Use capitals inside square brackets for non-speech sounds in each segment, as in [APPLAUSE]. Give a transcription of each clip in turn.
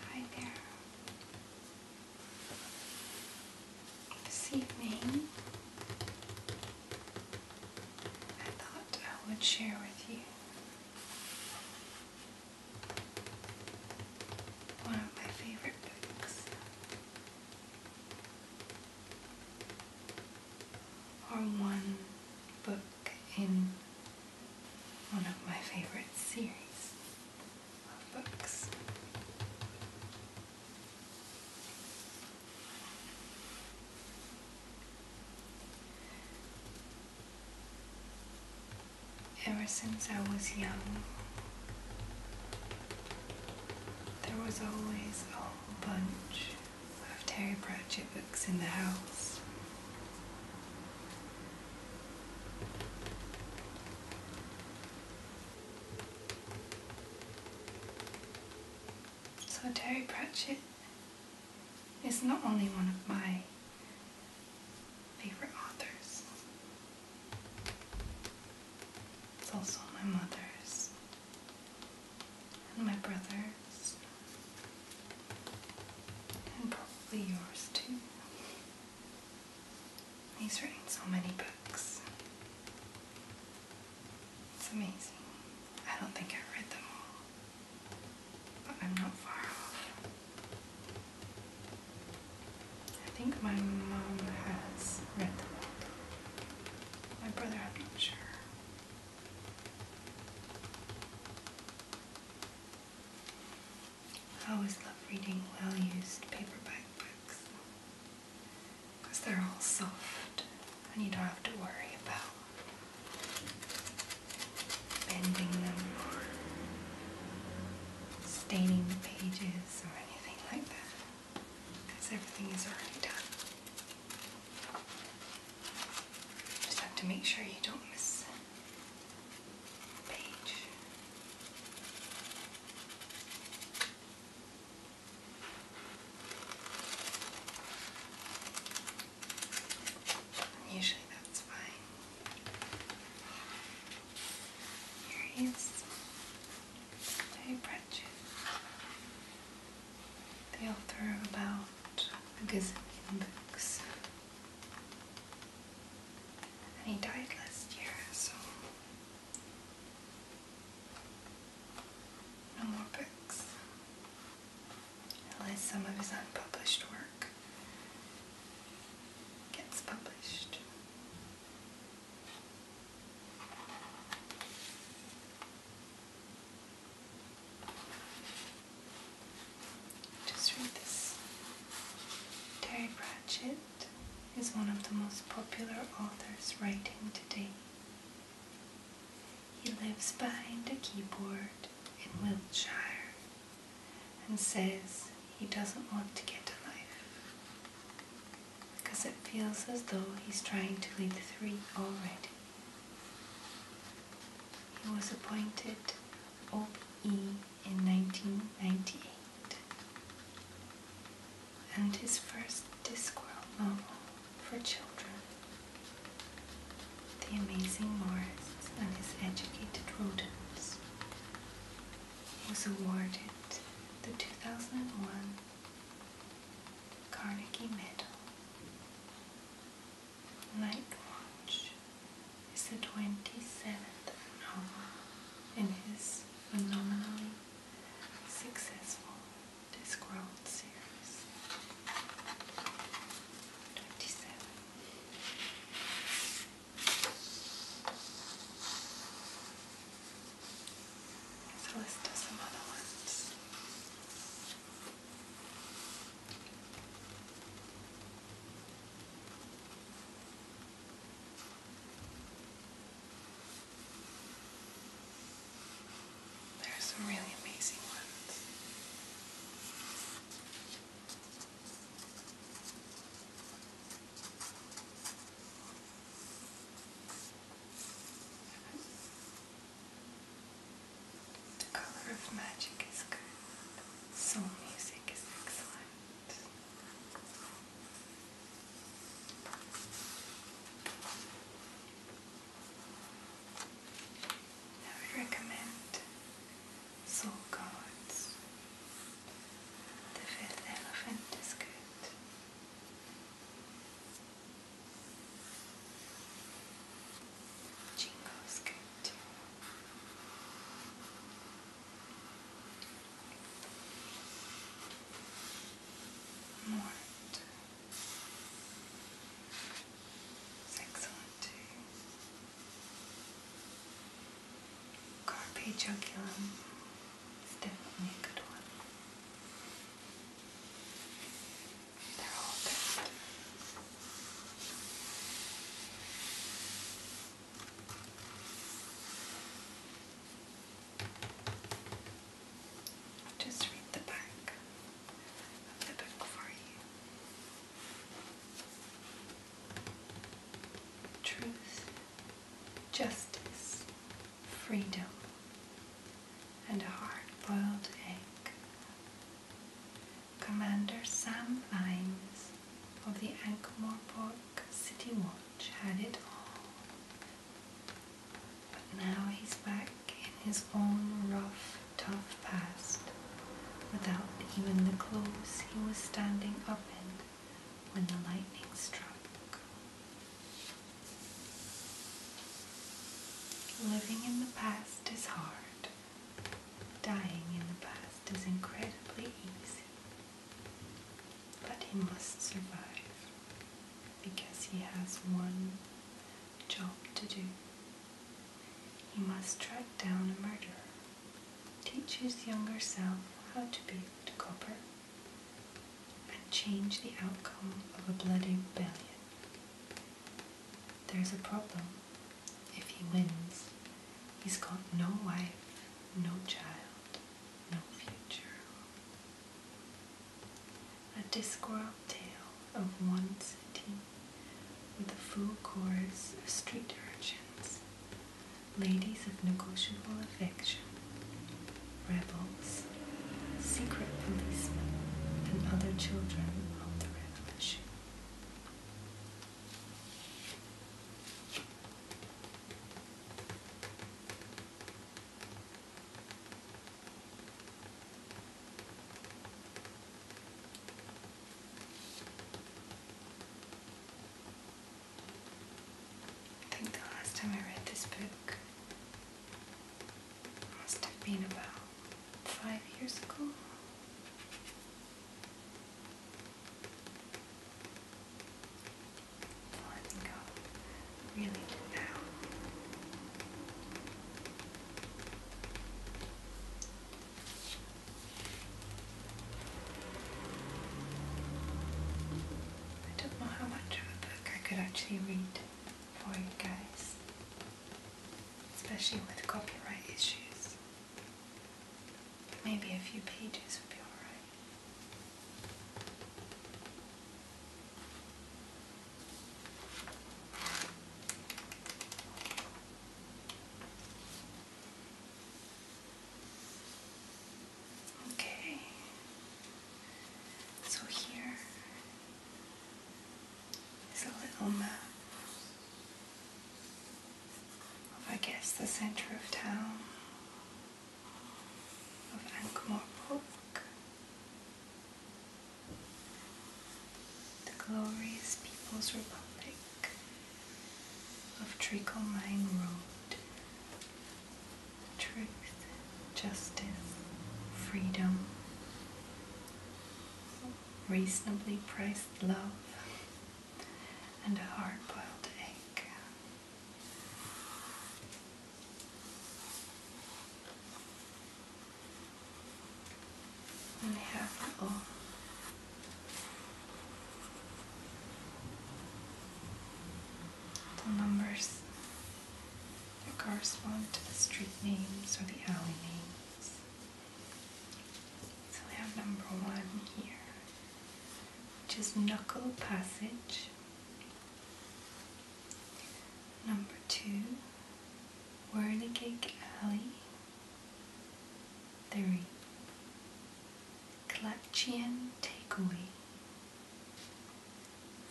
Hi there. This evening, I thought I would share with you one of my favorite books or one book in one of my favorite series of books. Ever since I was young, there was always a whole bunch of Terry Pratchett books in the house. So Terry Pratchett is not only one of my favorite authors, it's also my mother's and my brother's and probably yours too. He's written so many books. It's amazing. I don't think I've read them all, but I'm not far off. I think my mom has read them all. My brother, I'm not sure. I always love reading well-used paperback books because they're all soft and you don't have to worry about bending them or staining the pages or anything like that because everything is already done. Just have to make sure you don't miss page. Usually that's fine. Here he is the author of about a gazillion books. And he died last year, so no more books. Unless some of his unpublished work gets published. Just read this. Terry Pratchett is one of the most popular authors writing today. He lives behind a keyboard in Wiltshire and says he doesn't want to get a life because it feels as though he's trying to lead three already. He was appointed OBE in 1998 and his first Discworld novel for children, The Amazing Morris and His Educated Rodents, was awarded the 2001 Carnegie Medal. Night Watch is the 27th novel in his phenomenally successful Discworld series. 27. So let's do some other ones. There are some really amazing ones. The color of magic is good. Soul music is excellent. I would recommend Soul Gods. The Fifth Elephant is good. Jingo's good too. It's excellent too. Carpe Joculum. It's definitely a good one. They're all good. just read the back of the book for you. Truth, justice, freedom, and a hard-boiled egg. Commander Sam Vines of the ankh Park City Watch had it all, but now he's back in his own rough, tough past, without even the clothes he was standing up in when the lightning struck. Living in the past is hard. Dying in the past is incredibly easy. But he must survive because he has one job to do. He must track down a murderer, teach his younger self how to be a copper, and change the outcome of a bloody rebellion. There's a problem. If he wins, he's got no wife, no child, no future. A Discworld tale of one city with a full chorus of street urchins, ladies of negotiable affection, rebels, secret policemen, and other children of the revolution. I think the last time I read this book must have been about five years ago. I really do now. I don't know how much of a I could actually read for you guys, especially with copyright issues. Maybe a few pages would be alright. Okay. So here is a little map of, I guess, the center of town of Ankh-Morpork. The glorious People's Republic of Treacle Mine Road truth, justice, freedom, reasonably priced love, and a hard-boiled egg. And have a little the numbers that correspond to the street names or the alley names. So we have number one here, which is Knuckle Passage. Number two, Whirligig Alley. Three, Clutchian takeaway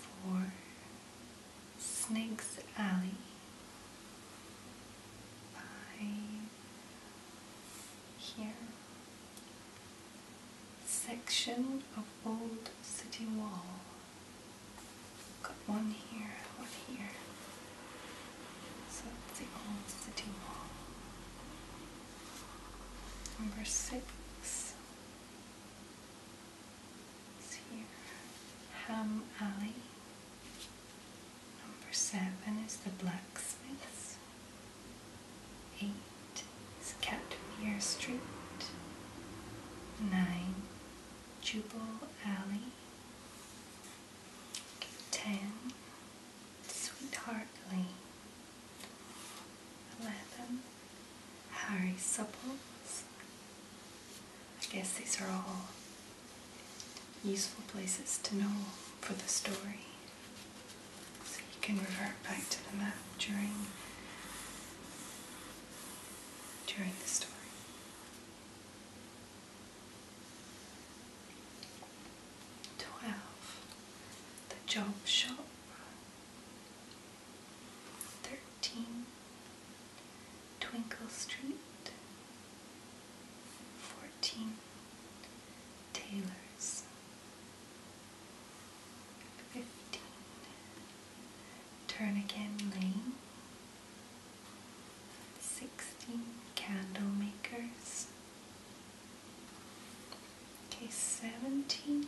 for Snake's Alley by here section of old city wall. Got one here, one here. So the old city wall. Number six. Ham Alley. Number seven is the Blacksmiths. Eight is Catmere Street. Nine, Jubal Alley. Ten, Sweetheart Lane eleven Harry Supples. I guess these are all useful places to know for the story. So you can revert back to the map during during the story. Twelve. The job shop thirteen Twinkle Street, fourteen Taylor's, fifteen Turnigan Lane, sixteen Candle Makers. Okay, 17.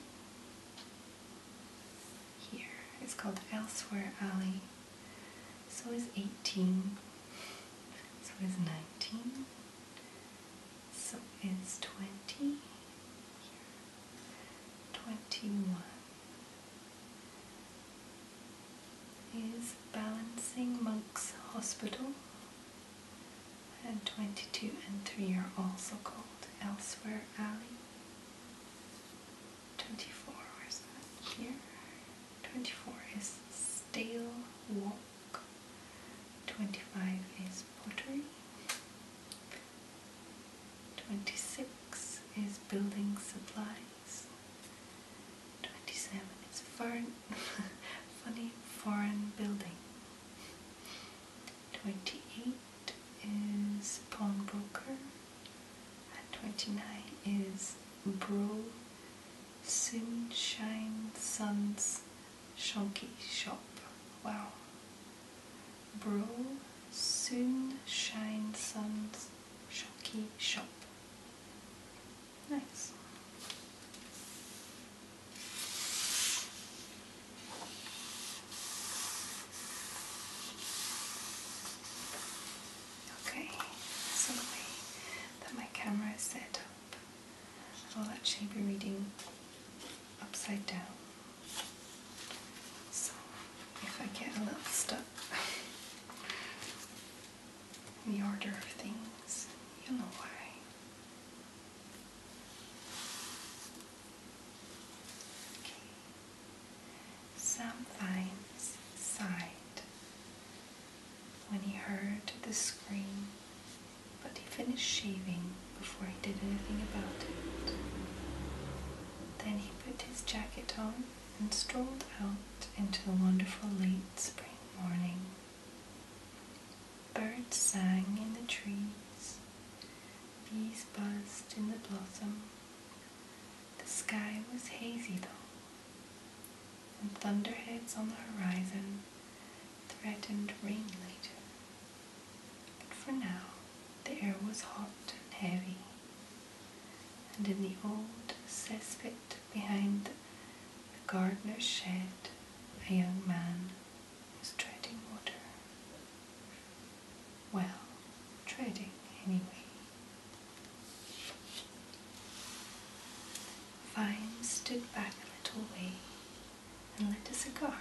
Here. It's called Elsewhere Alley. So is 18. So is 19. So is 20. 21. Is Balancing Monks Hospital and 22 and 3 are also called Elsewhere Alley. 24, where's Here. 24 is Stale Walk. 25 is Pottery. 26 is Building Supplies. 27 is foreign, [LAUGHS] Funny Foreign Building. Twenty-eight is pawnbroker, twenty-nine is bro. Sunshine Sun's Shonky Shop. Wow. Bro Sunshine Sun's Shonky Shop. Nice. Okay, so the that my camera is set up, I will actually be reading upside down. So if I get a little stuck [LAUGHS] the order of things, you'll know why. Okay. Sometimes sighed when he heard the scream, but he finished shaving before he did anything about it. Then he put his jacket on and strolled out into the wonderful late spring morning. Birds sang in the trees, bees buzzed in the blossom. The sky was hazy though, and thunderheads on the horizon threatened rain later. But for now, the air was hot and heavy, and in the old cesspit behind the gardener's shed, a young man is treading water. Well, treading anyway. Vine stood back a little way and lit a cigar.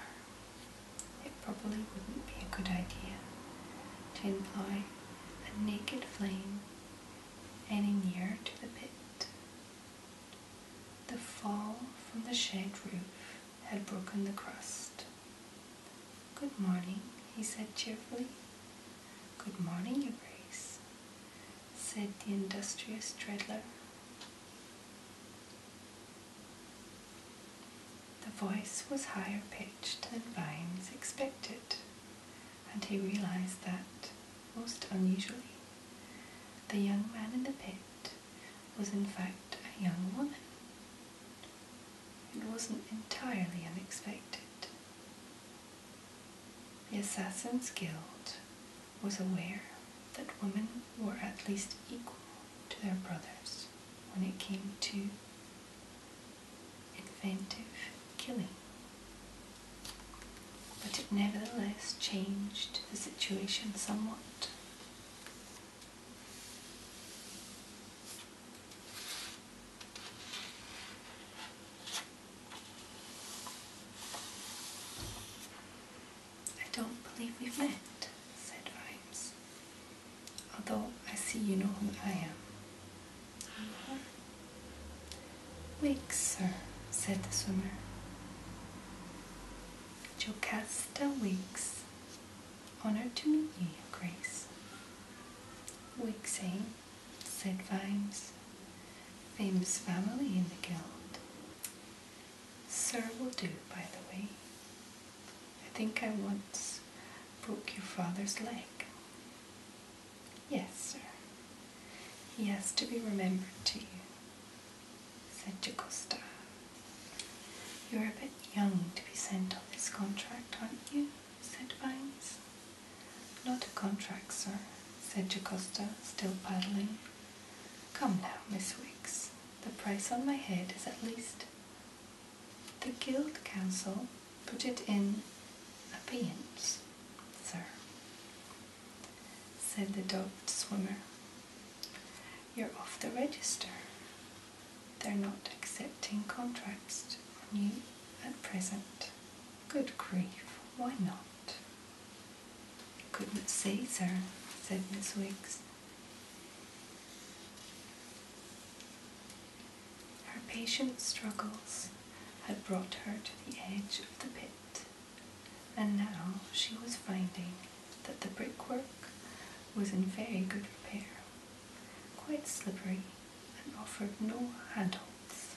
It probably wouldn't be a good idea to employ a naked flame any nearer to the pit, the fall from the shed roof had broken the crust. Good morning, he said cheerfully. Good morning, Your Grace, said the industrious treadler. The voice was higher pitched than Vines expected, and he realized that, most unusually, the young man in the pit was in fact a young woman. It wasn't entirely unexpected. The Assassin's Guild was aware that women were at least equal to their brothers when it came to inventive killing. But it nevertheless changed the situation somewhat. I don't believe we've met, said Rhymes, although I see you know who I am. Wake, sir, said the swimmer. Jocasta Weeks. honoured to meet you, Your Grace. Wixing, said Vimes, famous family in the guild. Sir will do, by the way. I think I once broke your father's leg. Yes, sir. He has to be remembered to you said Jocasta. You're a bit young to be sent on this contract, aren't you? said Vines. Not a contract, sir, said Jocasta, still paddling. Come now, Miss Wicks, the price on my head is at least. The Guild Council put it in a pience, sir said the dogged swimmer. You're off the register. They're not accepting contracts on you at present. Good grief, why not? Couldn't say, sir, said Miss Weeks. Her patient struggles had brought her to the edge of the pit. And now she was finding that the brickwork was in very good repair, quite slippery, and offered no handholds.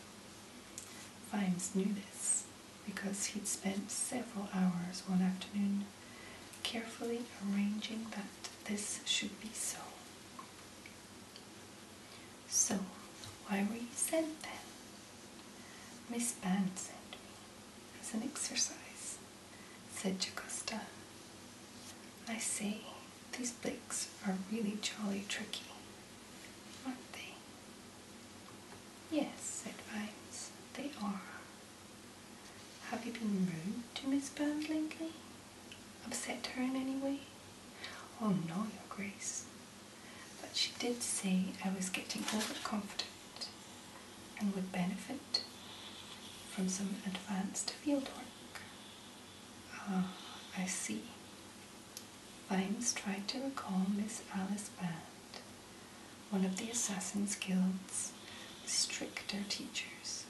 Vimes knew this because he'd spent several hours one afternoon carefully arranging that this should be so. So, why were you sent then? Miss Band sent me as an exercise, said Jacosta. I see, these blicks are really jolly tricky, aren't they? Yes, said Vines, they are. Have you been rude to Miss Burns lately? Upset her in any way? Oh no, Your Grace but she did say I was getting overconfident and would benefit from some advanced fieldwork. Ah, I see. Vimes tried to recall Miss Alice Band, one of the Assassin's Guild's stricter teachers.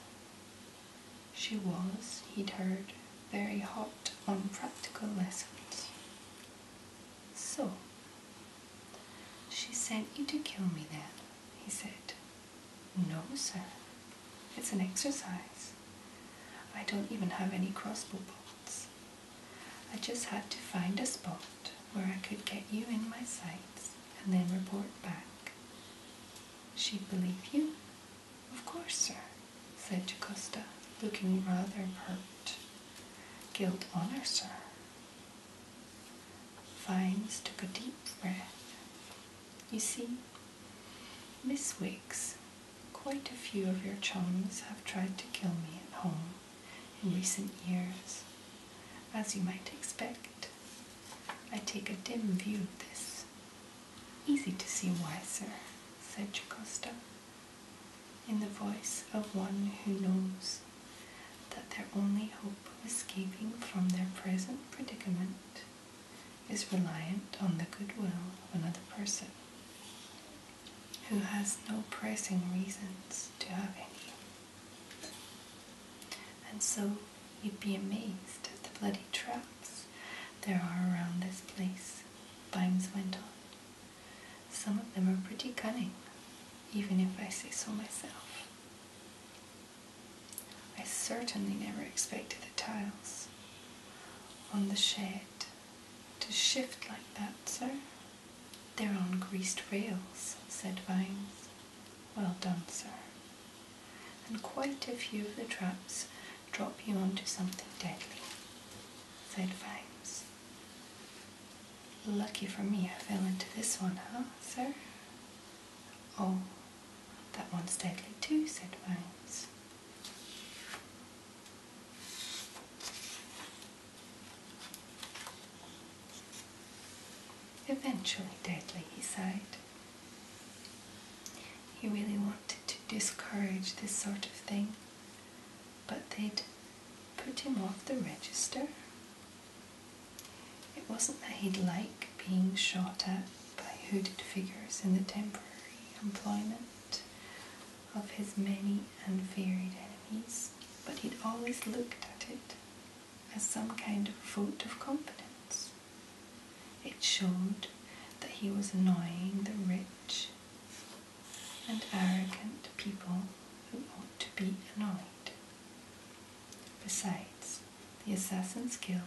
She was, he'd heard, very hot on practical lessons. So, she sent you to kill me then, he said. No, sir. It's an exercise. I don't even have any crossbow bolts. I just had to find a spot where I could get you in my sights and then report back. She'd believe you? Of course, sir, said Jocasta, looking rather pert. Guild honor, sir. Vines took a deep breath. You see, Miss Wiggs, quite a few of your chums have tried to kill me at home in recent years. As you might expect, I take a dim view of this. Easy to see why, sir, said Jocasta in the voice of one who knows that their only hope of escaping from their present predicament is reliant on the goodwill of another person who has no pressing reasons to have any. And so you'd be amazed at the bloody traps there are around this place, Bimes went on. Some of them are pretty cunning, even if I say so myself. I certainly never expected the tiles on the shed to shift like that, sir. They're on greased rails, said Vines. Well done, sir. And quite a few of the traps drop you onto something deadly, said Vines. Lucky for me, I fell into this one, huh, sir? Oh, that one's deadly too, said Miles. Eventually deadly, he sighed. He really wanted to discourage this sort of thing, but they'd put him off the register. It wasn't that he'd like being shot at by hooded figures in the temporary employment of his many and varied enemies, but he'd always looked at it as some kind of vote of confidence. It showed that he was annoying the rich and arrogant people who ought to be annoyed. Besides, the Assassin's Guild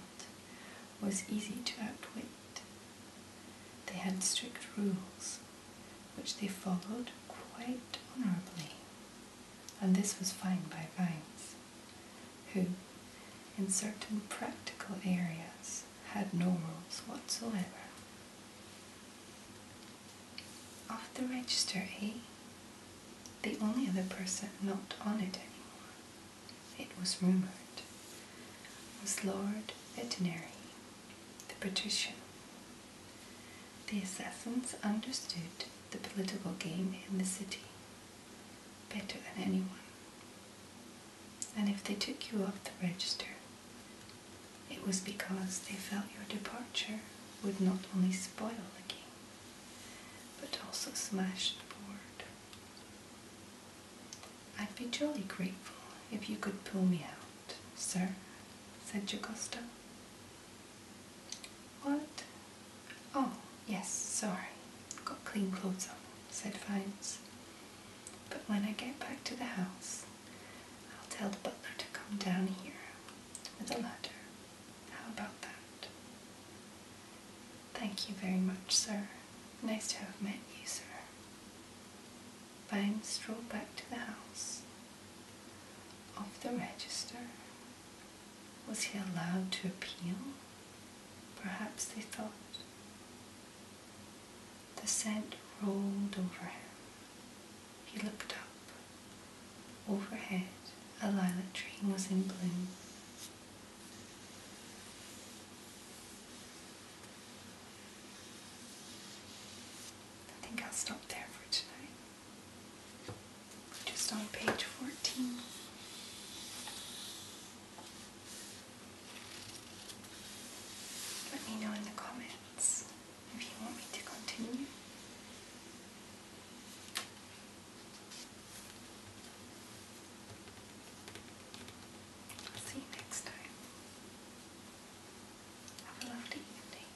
was easy to outwit. They had strict rules, which they followed quite honourably, and this was fine by Vines, who, in certain practical areas, had no rules whatsoever. Off the register, eh? The only other person not on it anymore, it was rumoured, was Lord Veterinary, the patrician. The assassins understood the political game in the city better than anyone, and if they took you off the register, it was because they felt your departure would not only spoil the game, but also smash the board. I'd be jolly grateful if you could pull me out, sir, said Jacosta. What? Oh, yes, sorry. Got clean clothes on, said Vines. But when I get back to the house, I'll tell the butler to come down here with a ladder. How about that? Thank you very much, sir. Nice to have met you, sir. Bang stroll back to the house. Off the register. Was he allowed to appeal? Perhaps they thought. The scent rolled over him. He looked up. Overhead, a lilac tree was in bloom. I think I'll stop there for tonight. just on page 14. Let me know in the comments. If you want me to continue. see you next time. Have a lovely evening.